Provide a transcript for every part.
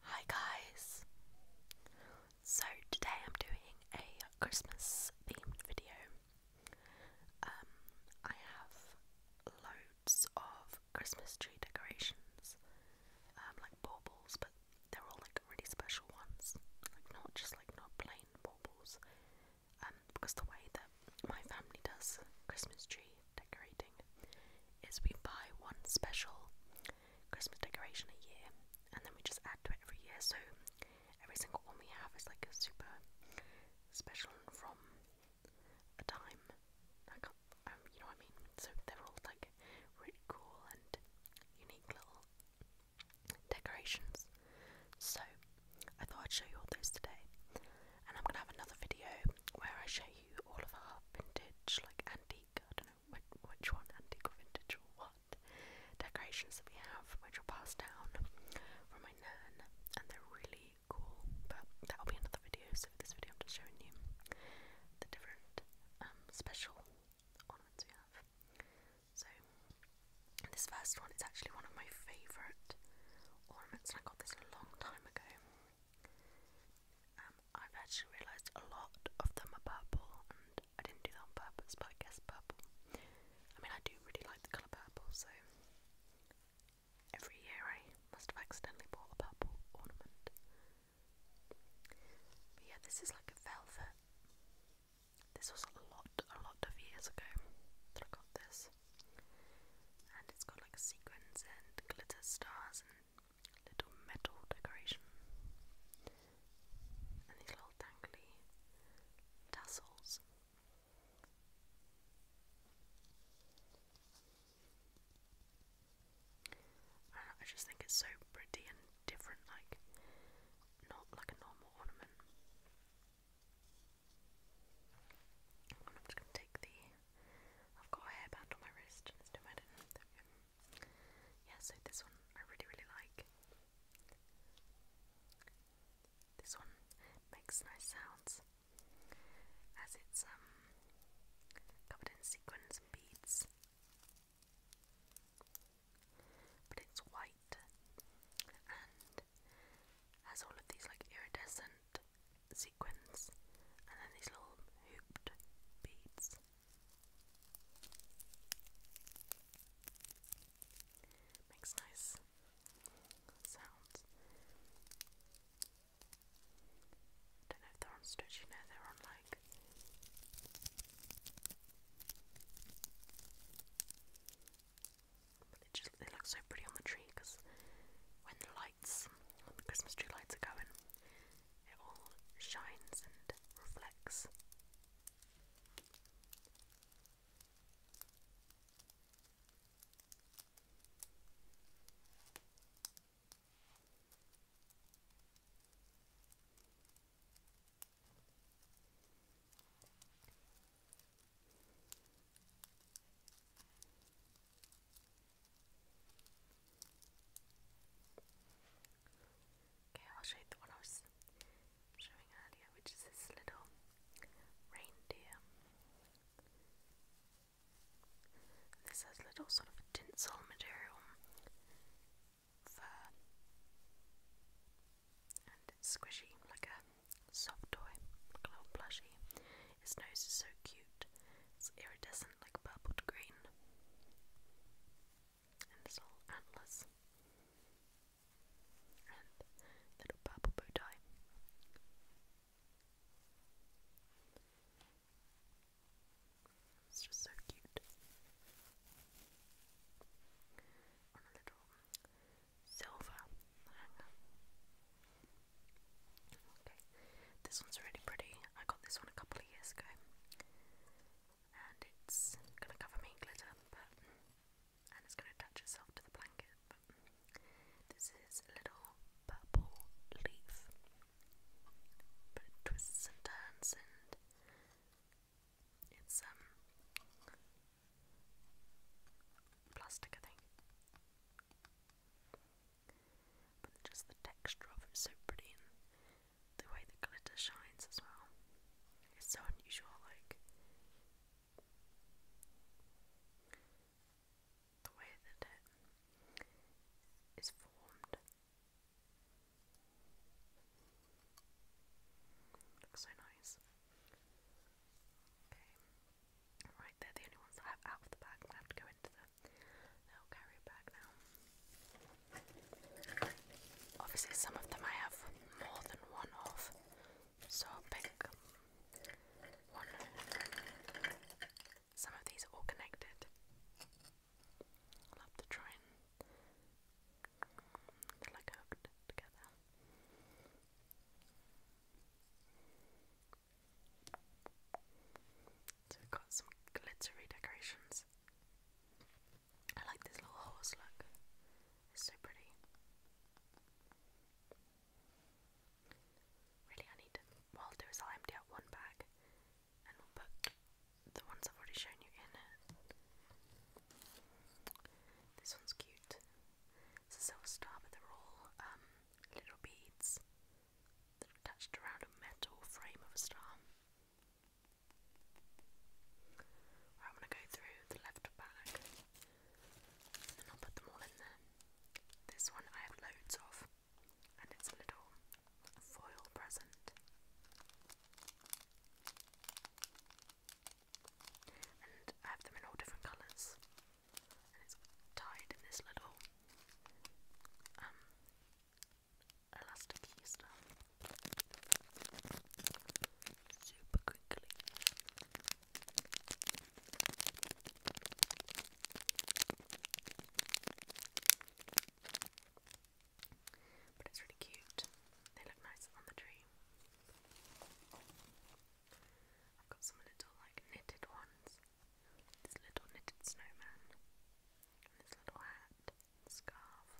Hi guys! So today I'm doing a Christmas themed video. Um, I have loads of Christmas tree decorations, um, like baubles, but they're all like really special ones, like not just like not plain baubles. Um, because the way that my family does Christmas tree decorating is we buy one special Christmas decoration a year, and then we just add to it every year. So every single one we have is like a super special from a time. I um, you know what I mean. So they're all like really cool and unique little decorations. So I thought I'd show you all those today, and I'm gonna have another video where I show you all of our vintage, like antique, which, one, antique or vintage or what. Decorations that we have, which are passed down from my nan, and they're really cool. But that'll be another video. So for this video, I'm just showing you the different um, special ornaments we have. So this first one is actually one of my favourite ornaments, and I got this a long time ago. Um, I've actually realised a lot of them are purple, and I didn't do that on purpose, but I guess purple. I mean, I do really like the colour purple, so every year I must have accidentally bought a purple ornament. But yeah, this is like a velvet. This was a lot, a lot of years ago that I got this. And it's got like sequins and glitter stars and little metal decoration and these little dangly tassels. I, just think it's so pretty and different, like not like a normal ornament. I'm just gonna take the. I've got a hairband on my wrist, let's do my. There yeah, so this one I really, really like. This one makes nice sounds as it's um covered in sequins and beads. But it's white and has all of these like iridescent sequins and then these little hooped beads. Makes nice sounds. Don't know if they're on stretchy now, they're on like they just they look so pretty on the tree because when the lights, when the Christmas tree lights are going, it all shines and reflects. Okay, I'll show you the one I was showing earlier, which is this little reindeer. And this has little sort of tinsel material fur, and it's squishy, like a soft toy, like a little plushie. His nose is so cute, it's iridescent like purple green. And this all antlers. And little purple bow tie. It's just so cute. On a little silver Okay, this one's really pretty. I got this one a couple of years ago, and it's gonna cover me in glitter, and it's gonna attach itself to the blanket. this is a little purple leaf, but it twists and turns, and it's um plastic, I think. But just the texture of it's so pretty and the way the glitter shines as well. It's so unusual, like the way that it is formed. Looks so nice. Okay. Right, they're the only ones I have out of the bag. I have to go into the little carrier now. Obviously, some of them I have more than one of, so I'll pick one. Some of these are all connected. i to try and they're like together. So we've got some glittery decorations this. I like this little horse look. It's so pretty. Really, I need What I'll do is I'll empty out one bag and put the ones I've already shown you in it. This one's cute. It's a silver star, but they're all um, little beads attached around a metal frame of a star. Right, I'm going to go through the left bag and I'll put them all in there. This one I have loads of, and it's a little foil present. I have them in all different colours, and it's tied in this little um, elastic stuff super quickly. But it's really cute. They look nice on the tree. I've got some little like knitted ones. This little knitted snowman. His little hat scarf.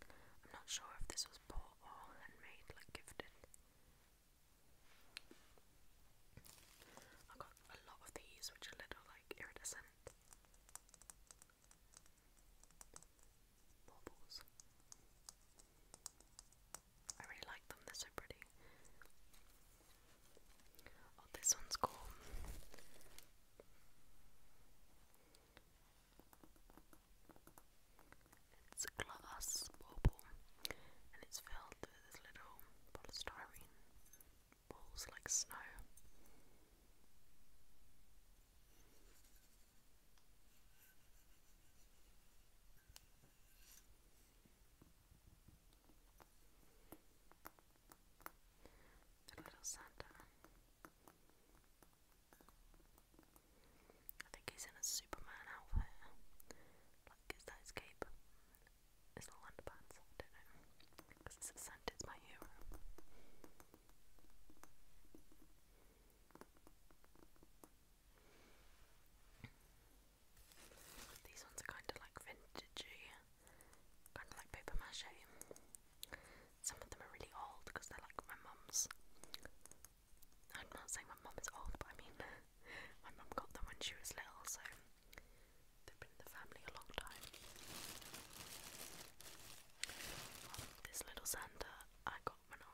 I'm not sure if this was bought or handmade, like gifted. I got a lot of these, which are little like iridescent baubles. I really like them, they're so pretty. Oh, this one's cool. It's a glass bauble and it's filled with little polystyrene balls like snow little Santa. I think he's in a Superman outfit. Like, his cape? His little underpants? I don't know. Because it's my hero. These ones are kind of like vintagey, kind of like paper mache. Some of them are really old because they're like my mum's. I'm not saying my mum old, but I mean my mum got them when she was little, so they've been in the family a long time. Um, this little sander I got when I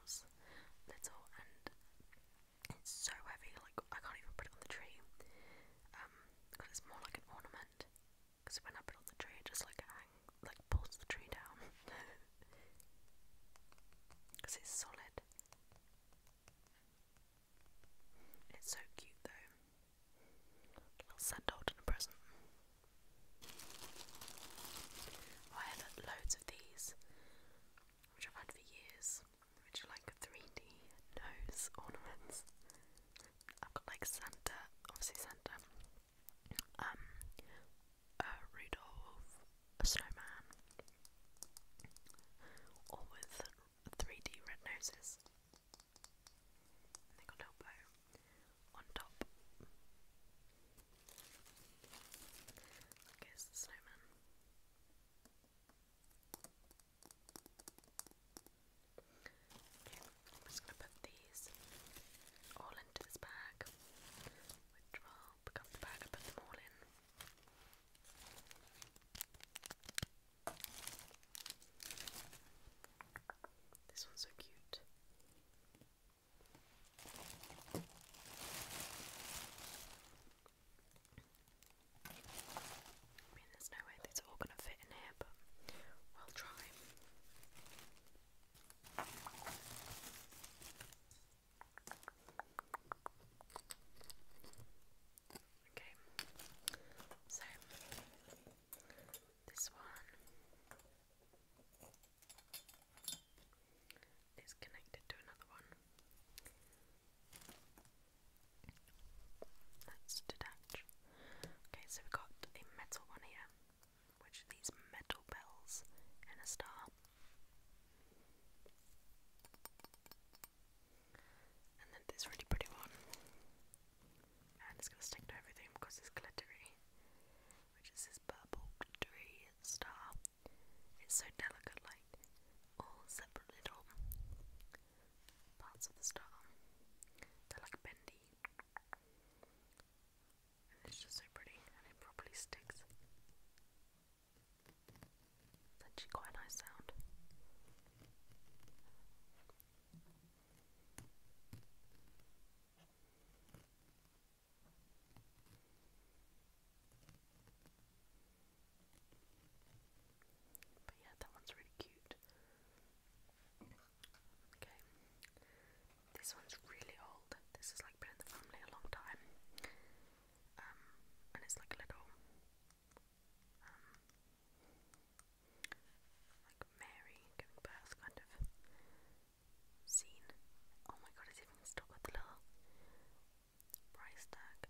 little, and it's so heavy, like I can't even put it on the tree. Um, because it's more like an ornament. Because when I put on the tree, it just like hang, like pulls the tree down. Because it's solid. It's so cute though. A little sand and a present. I have loads of these, which I've had for years ornaments, which like 3D nose ornaments. I've got like Santa, obviously Santa, um, Rudolph, a snowman, all with 3D red noses. they got a little bow on top. Here's snowman. I'm just going to put these all into this bag, which will become the bag I put them all in. This one's so cute there's no way these are all going to fit in here, but we'll try. Okay, so this one is connected to another one. Let's detach. Okay, so we've got a metal one here, which these metal bells and a star. And then this really pretty one. And it's gonna stick to everything because it's glittery. Which is this purple glittery star. It's so delicate, like all separate little parts of the star. They're like bendy. And it's just so pretty and it properly sticks. actually quite nice sound. But yeah, that one's really cute. Okay. This one's really old. This is like been in the family a long time. Um, and it's like a little um, like Mary giving birth kind of scene. Oh my god, it's even stuck with the little price tag.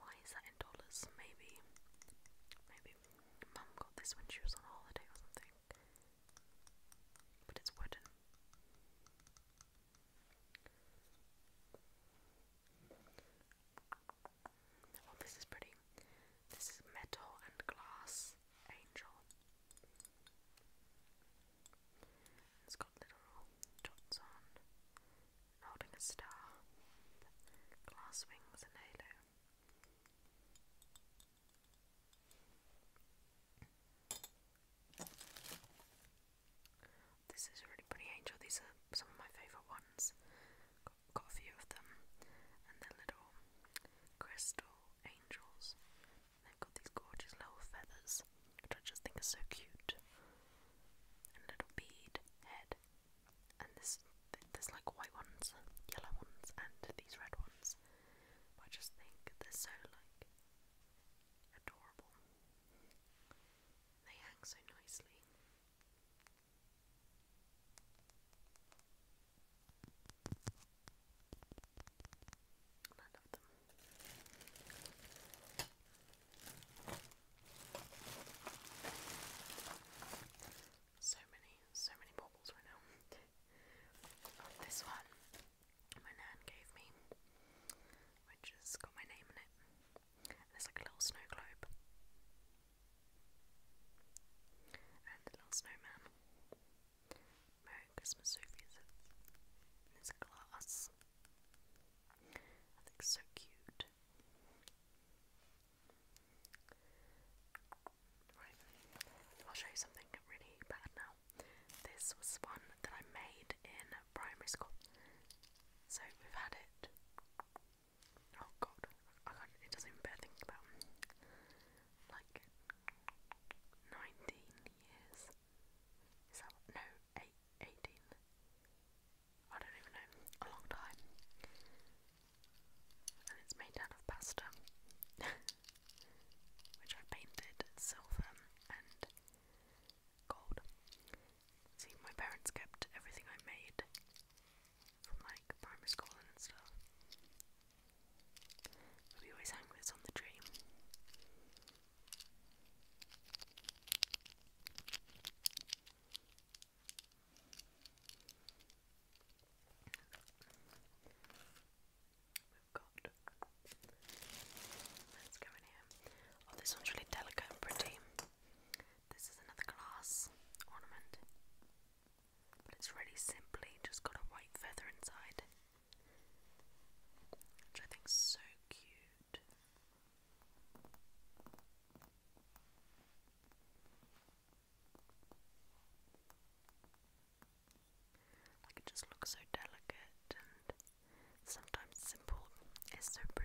Why is that in dollars? Maybe. Maybe mum got this when she was on holiday or something. But it's wooden. Oh, this is pretty. This is metal and glass angel. It's got little dots on holding a star, glass wings and halo. This is really pretty angel. These are some of my favourite ones. Got, a few of them, and they're little crystal angels. They've got these gorgeous little feathers, which I just think are so cute. And little bead head and this there's like white ones, yellow ones, and these red ones. I just think they're so like adorable. They hang so nicely. I love them. So many, so many baubles right now. this one my nan gave me, which has got my name in it. And like a little snow globe. And a little snowman. Merry Christmas, Sophie says. And glass. I think so cute. Right, I'll show you something really bad now. This was one that I made in primary school. So we've had it. Oh god, I can't, it doesn't even bear thinking about. Like 19 years. Is that no, eight, 18? I don't even know, a long time. And it's made out of pasta, which I painted silver and gold. See, my parents kept everything I made from like primary school and stuff. We always hang this on the tree. Let's go in here. Oh, this one's really delicate and pretty. This is another glass ornament, but it's really simply just got a white feather inside, which I think so cute. Like it just looks so delicate and sometimes simple is so pretty.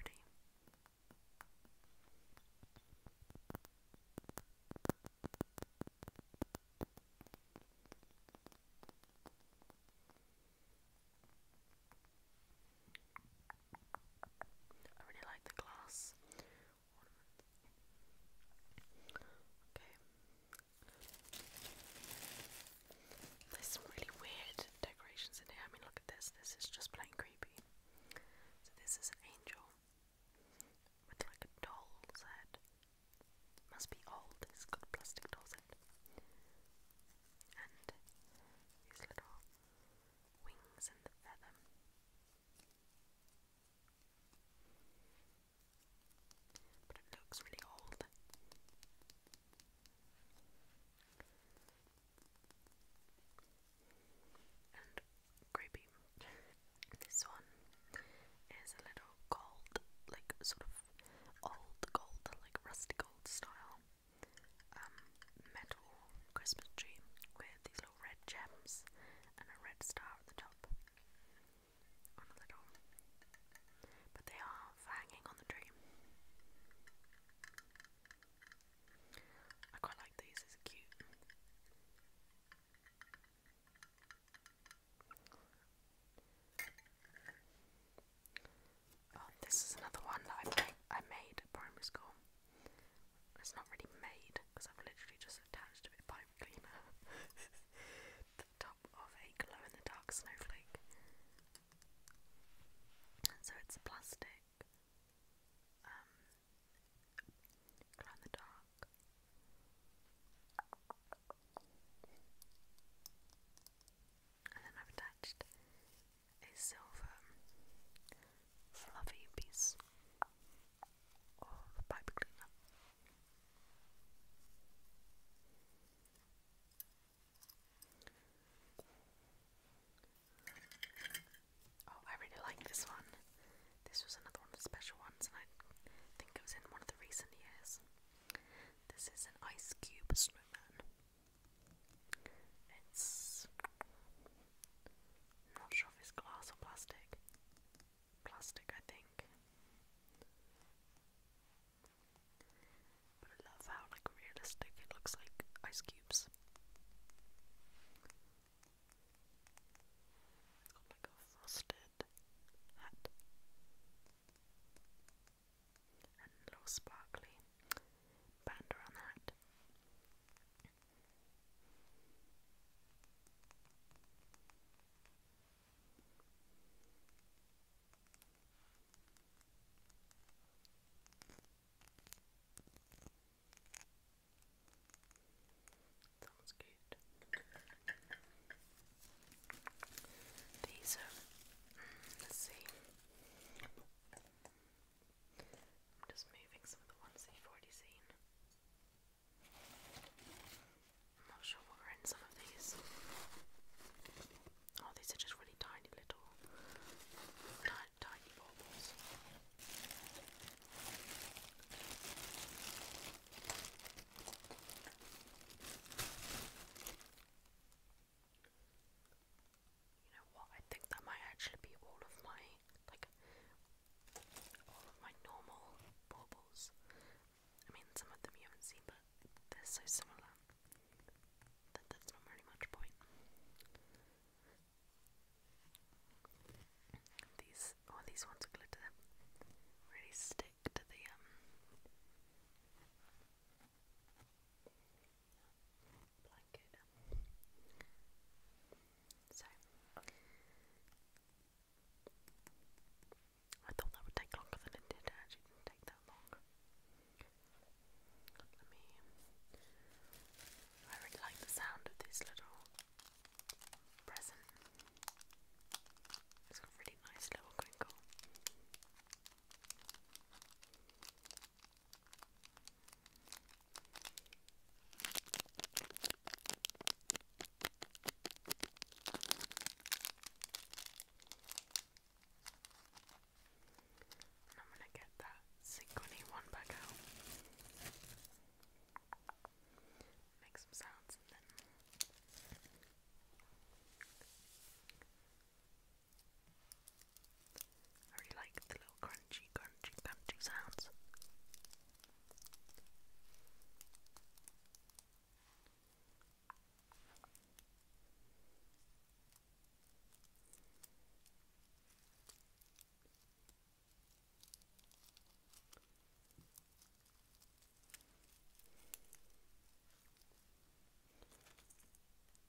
I really like the glass Okay. There's some really weird decorations in here. I mean, look at this. This is just plain creepy. So this is an angel with like a doll's head. Must be old. It's got plastic doll's head. And these little Wings and the Feather. But it looks really old. And creepy. this one is a little gold, like sort of old gold, like rusty gold style. Um, metal Christmas tree with these little red gems and a red star at the top on a little, but they are hanging on the tree. I quite like these, it's cute. Oh, this is another one that I I made at primary school. It's not really made because I've literally just attached a bit of pipe cleaner to the top of a glow in the dark snowflake. So it's plastic, um, glow in the dark. And then I've attached a silver fluffy piece of pipe cleaner. Oh, I really like this one. This was another one of the special ones, and I think it was in one of the recent years. This is an ice cube snowman. It's not sure if it's glass or plastic. Plastic, I think. But I love how like realistic it looks like ice cubes. It's got like a frosted hat. And little sparkly band around the Sounds good. These are, mm, let's see, I'm just moving some of the ones that you've already seen. I'm not sure what in some of these. Oh, these are just really tiny little, tiny, tiny baubles. You know what? I think that might actually be all of my like all of my normal baubles. I mean, some of them you haven't seen, but they're so similar that that's not really much point. These oh, these ones glitter. Really stick to the um blanket. So, I thought that would take longer than it did. actually didn't take that long. Let me. I really like the sound of this little present. It's got a really nice little crinkle. And I'm going to get that synchrony one back out. Make some sounds and then I really like the little crunchy, crunchy, crunchy sounds.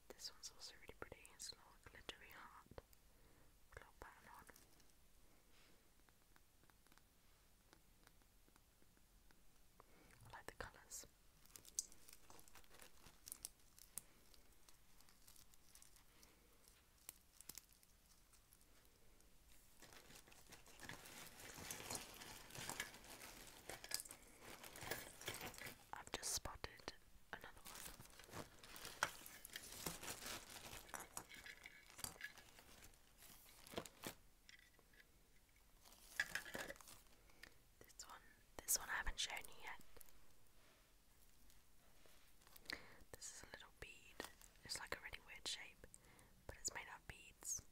This one's also really pretty. It's a little glittery heart. A little pattern on. I like the colours. I've just spotted this one, this one I haven't shown you yet. This is a little bead. It's like a really weird shape, but it's made out of beads.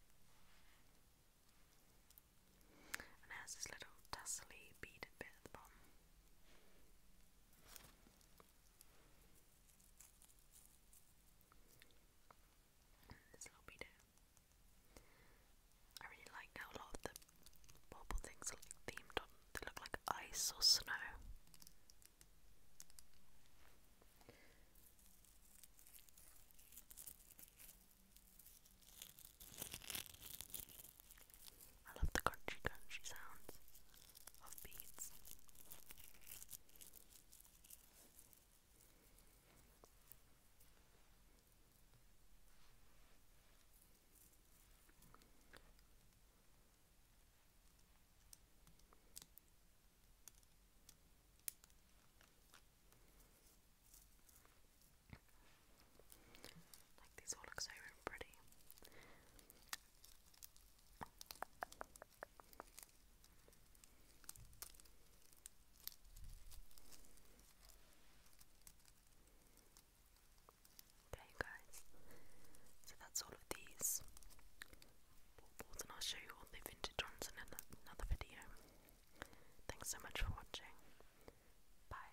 And has this little tassely beaded bit at the bottom. I really like how a lot of the bobble things are like themed on. They look like ice or snow. I love the crunchy crunchy sounds of beads. Okay, guys. So that's all of these and I'll show you all the vintage ones in another video. Thanks so much for watching. Bye.